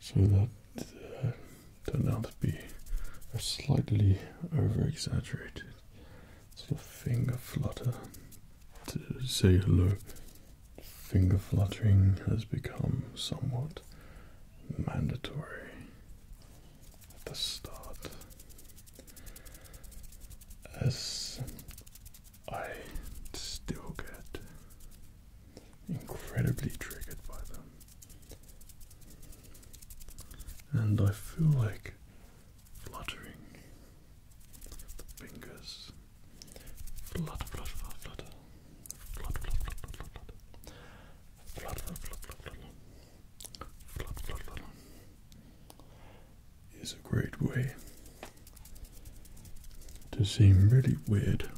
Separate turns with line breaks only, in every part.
so that uh, turned out to be a slightly over exaggerated sort of finger flutter to say hello. Finger fluttering has become somewhat mandatory at the start. As I still get incredibly triggered by them. And I feel like fluttering the fingers. Flutter, flutter, flutter, flutter. Flutter, flutter, flutter, flutter. Flutter, flutter, flutter, flutter. Flutter, flutter, flutter. Is a great way to seem really weird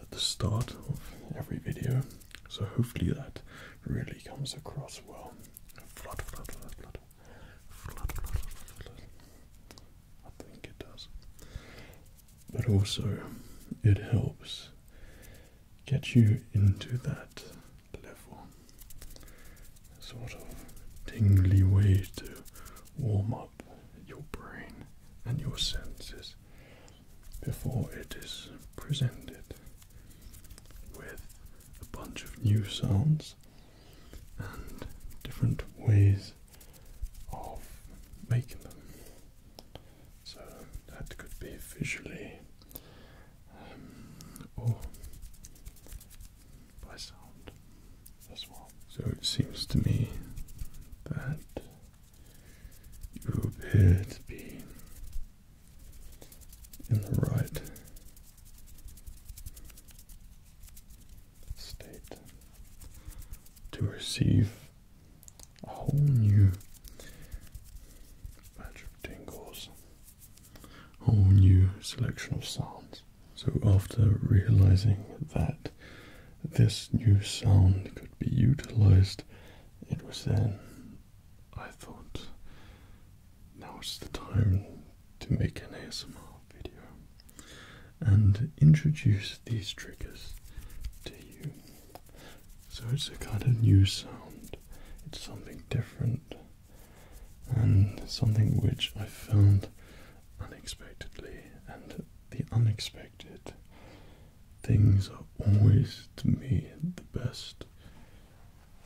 at the start of every video. So hopefully that really comes across well. I think it does. But also, it helps get you into that level. Sort of tingly way to warm up your brain and your senses before it is presented with a bunch of new sounds and different ways of making them. So that could be visually um, or by sound. So it seems to me that you appear to be in the right state to receive a whole new batch of tingles, a whole new selection of sounds. So, after realizing that this new sound could be utilized, it was then I thought now is the time to make an ASMR video and introduce these triggers to you. So, it's a kind of new sound, it's something different, and something which I found unexpectedly and the unexpected. Things are always, to me, the best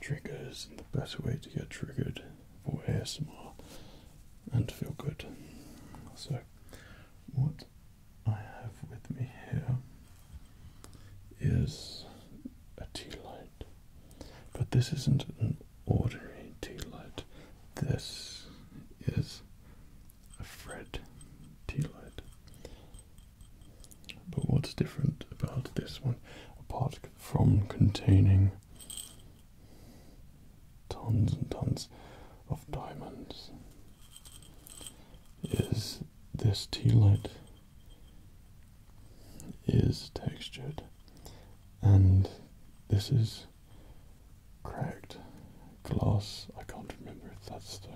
triggers and the best way to get triggered for ASMR and feel good. So, what I have with me here is a tea light, but this isn't an ordinary tea light. This is a Fred tea But what's different about this one, apart from containing tons and tons of diamonds, is this tea is textured and this is Cracked Glass, I can't remember if that's the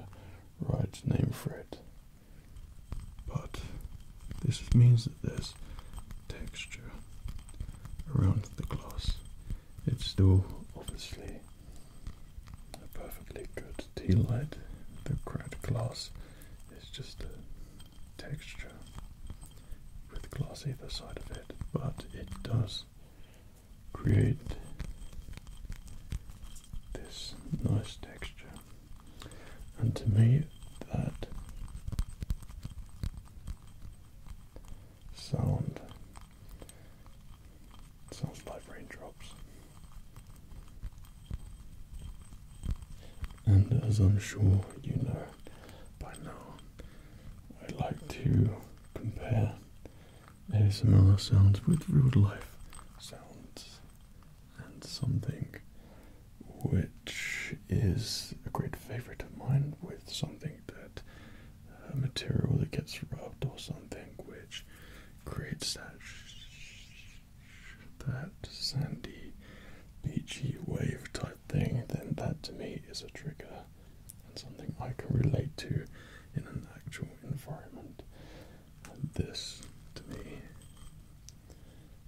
right name for it. But this means that there's texture around the glass. It's still obviously a perfectly good tea light. The cracked glass is just a texture with glass either side of it, but it does create this nice texture. And to me, that sound sounds like raindrops. And as I'm sure you know by now, I like to compare ASMR sounds with real life sounds, and something which is a great favorite of mine with something that uh, material that gets rubbed or something which creates that that sandy beachy wave type thing, then that to me is a trigger and something I can relate to in an actual environment. this, to me,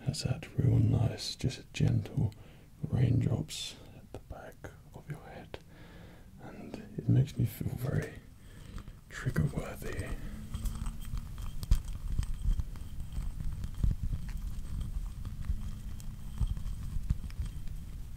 has that real nice, just gentle raindrops at the back of your head, and it makes me feel very trigger worthy.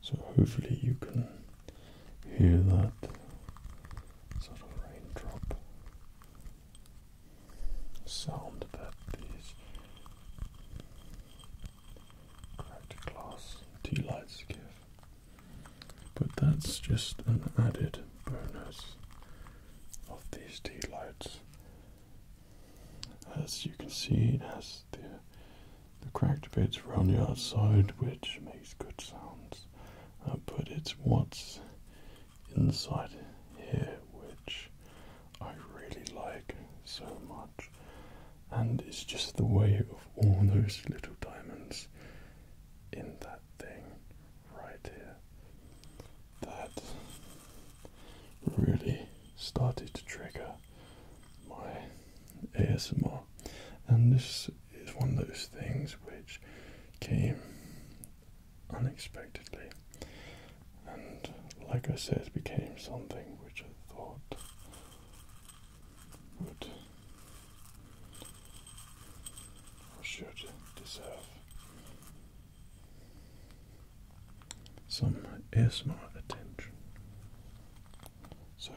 So hopefully you can hear that sort of raindrop sound that these cracked glass tea lights give. But that's just an added bonus of these tea lights. As you can see, it has the, the cracked bits around the outside, which makes good sounds. Uh, but it's what's inside here which I really like so much. And it's just the way of all those little diamonds in that thing right here that really started to trigger my ASMR. And this is one of those things which came unexpectedly and, like I said, became something which I thought would or should deserve some ASMR attention. So,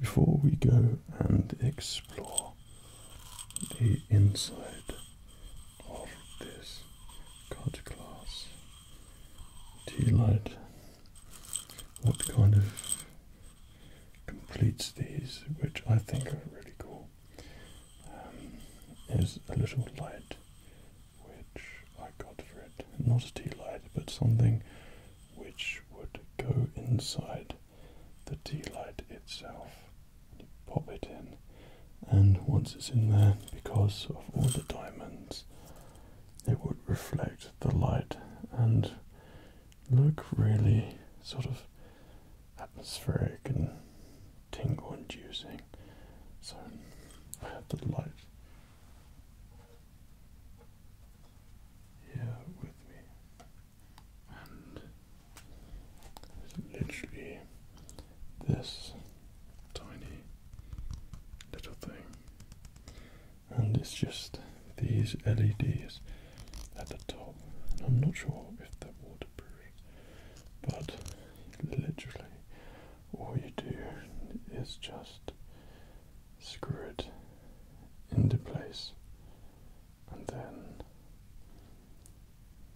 before we go and explore the inside of this card class tea light, what kind of completes these, which I think are really cool, um, is a little light which I got for it. Not a tea light, but something which would go inside the tea light itself. You pop it in, and once it's in there, because of all the diamonds, it would reflect the light and look really sort of atmospheric and tingle inducing. So I have the light here with me and literally this tiny little thing and it's just these LEDs at the top I'm not sure if they're waterproof but literally all you do is just screw it into place and then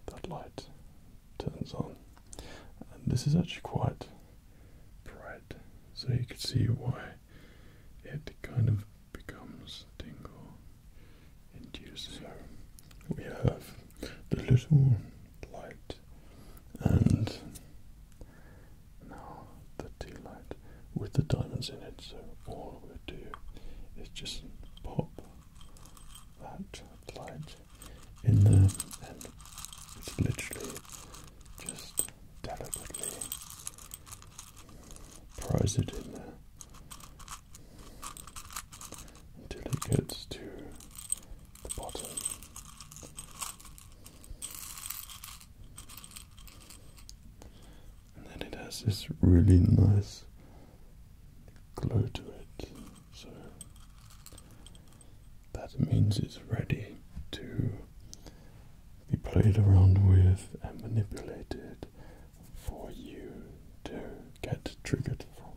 that light turns on and this is actually quite bright so you can see why it kind of becomes tingle inducing. So we have the little light and now the tea light with the diamonds in it. So all we do is just pop that light in there and it's literally just delicately prise it in there until it gets to the bottom. And then it has this really nice glow to it. So that means it's ready to be played around with and manipulated for you to get triggered from.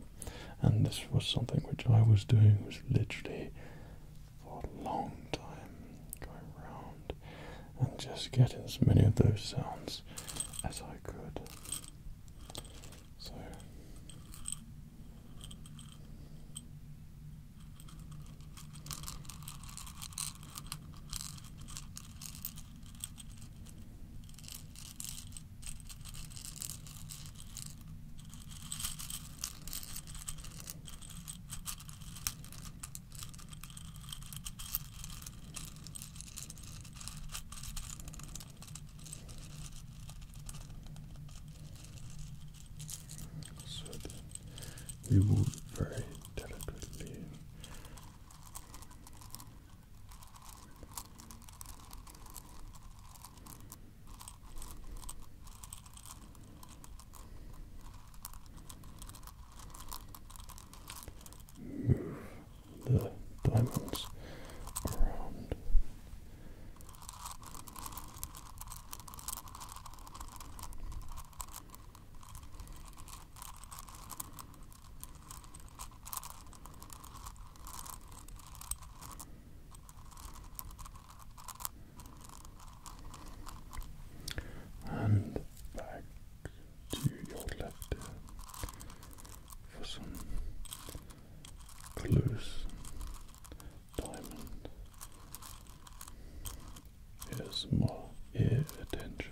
And this was something which I was doing was literally for a long time going round and just getting as many of those sounds as I could. So so then we will very delicately Move the diamonds around. And back to your left for some close diamond. Here's more attention.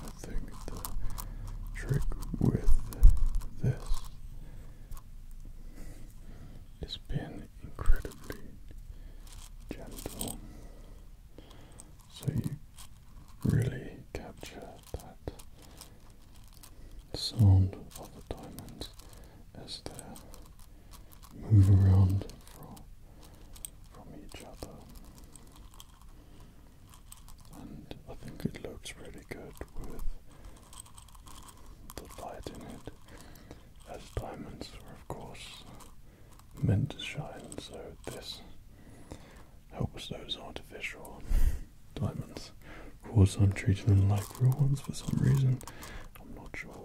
I think the trick with this it's been incredibly gentle, so you really capture that sound of the diamonds as they move around from, from each other. And I think it looks really good with the light in it, as diamonds were of course meant to shine, so this helps those artificial diamonds. Of course I'm treating them like real ones for some reason. I'm not sure why.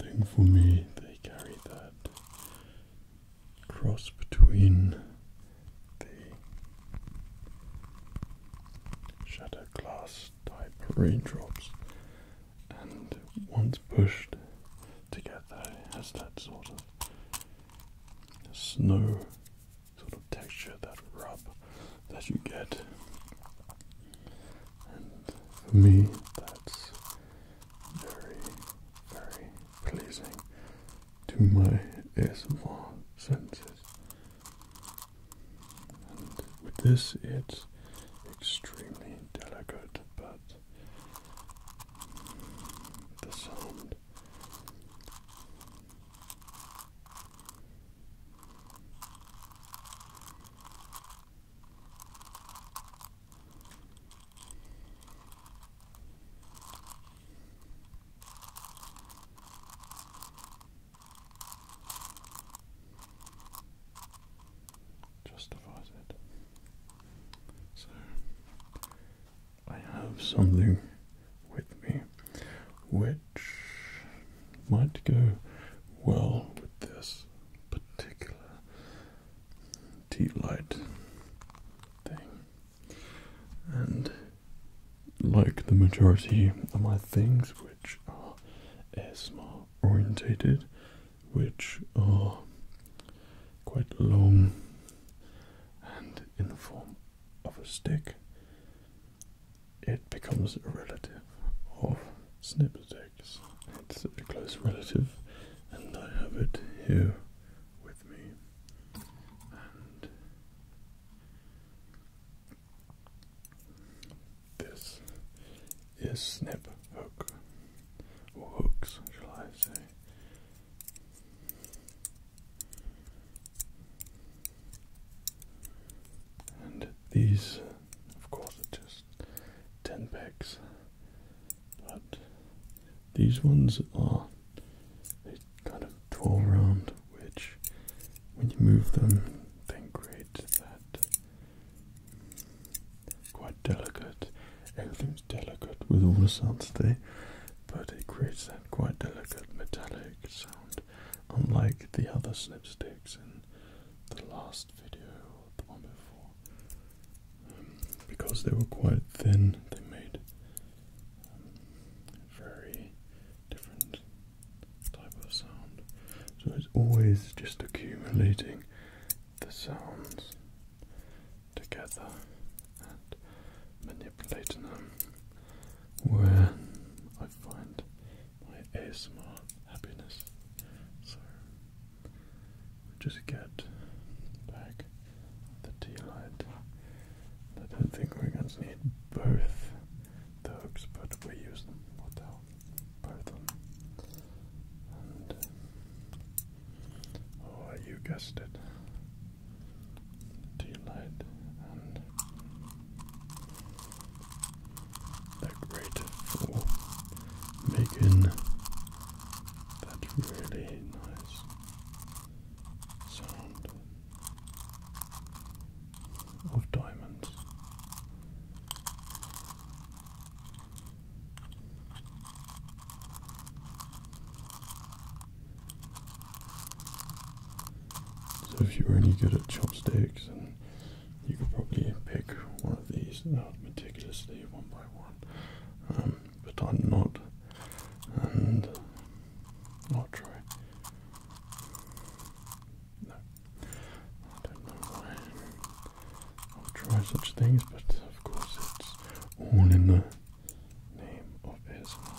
I think for me, they carry that cross between the shattered glass type raindrops and once pushed together it has that sort of snow sort of texture, that rub that you get. And for me that's very, very pleasing to my ASMR senses. And with this, it's extremely delicate, but the sound. Justifies it. So I have something with me which might go well with this particular tea light thing. And like the majority of my things, which are ASMR orientated, which are quite long and in the form of a stick, it becomes a relative of snip It's a close relative, and I have it here with me and this is snip hook or hooks, shall I say? And these, of course, are just ten pegs but these ones are they kind of twirl round, which when you move them, they create that mm, quite delicate. Everything's delicate with all the sounds there, but it creates that quite delicate metallic sound, unlike the other slipsticks in the last video or the one before because they were quite thin, they made um, very different type of sound. So it's always just accumulating the sounds together and manipulating them. Where I find my ASMR happiness. So just get back the tea light. I don't think we're going to need both the hooks, but we use them. What the hell? Both And, um, oh, you guessed it. Tea light and they great for making that really nice sound of diamonds. So if you were any good at chopsticks and you could probably pick one of these out meticulously one by one. Um, but I'm not. And I'll try. No, I don't know why I'll try such things, but of course it's all in the name of ASMR.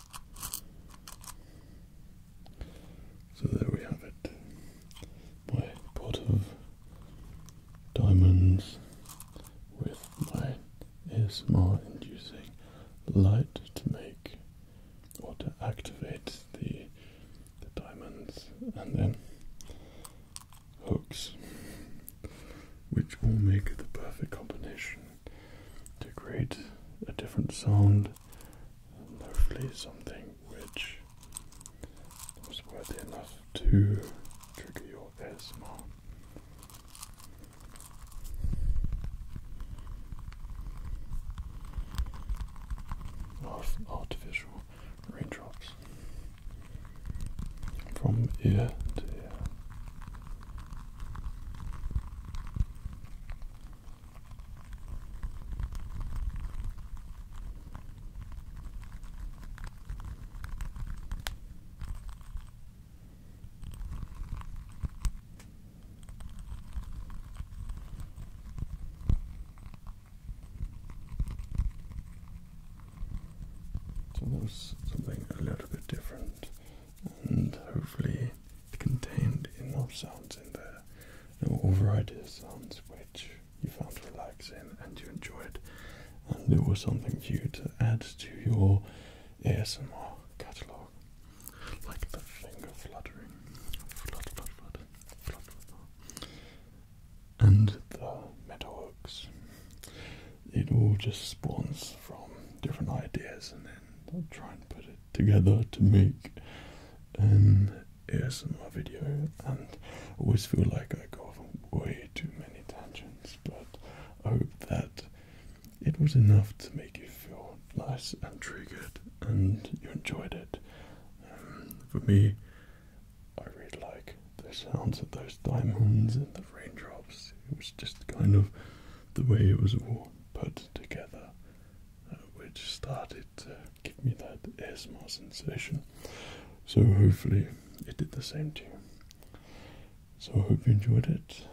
So there we have it. My pot of diamonds with my ASMR inducing light to make or to activate the the diamonds and then hooks which will make the perfect combination to create a different sound hopefully something which was worthy enough to trigger your ASMR. Of artificial raindrops from ear to ear. So that was something a little bit different, and hopefully contained enough sounds in there, no of sounds which you found relaxing and you enjoyed, and it was something you to add to your ASMR catalogue, like the finger fluttering, flutter, flutter, flutter, flutter, and the metalworks. It all just spawns from different ideas, and then I'll try and put it together to make an ASMR video, and I always feel like I go off way too many tangents, but I hope that it was enough to make you feel nice and triggered and you enjoyed it. Um, for me, I really like the sounds of those diamonds and the raindrops. It was just kind of the way it was all put together uh, which started to give me that asthma sensation. So hopefully it did the same to you. So I hope you enjoyed it.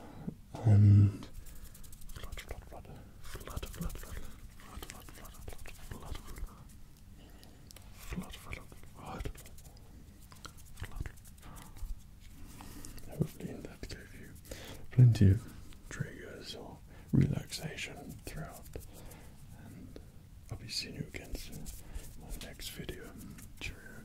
And flutter, flutter, flutter, flutter, flutter, flutter, flutter, flutter, flutter, flutter, flutter, flutter, flutter. Hopefully that gave you plenty of triggers or relaxation throughout. And I'll be seeing you again soon in my next video. Cheerio.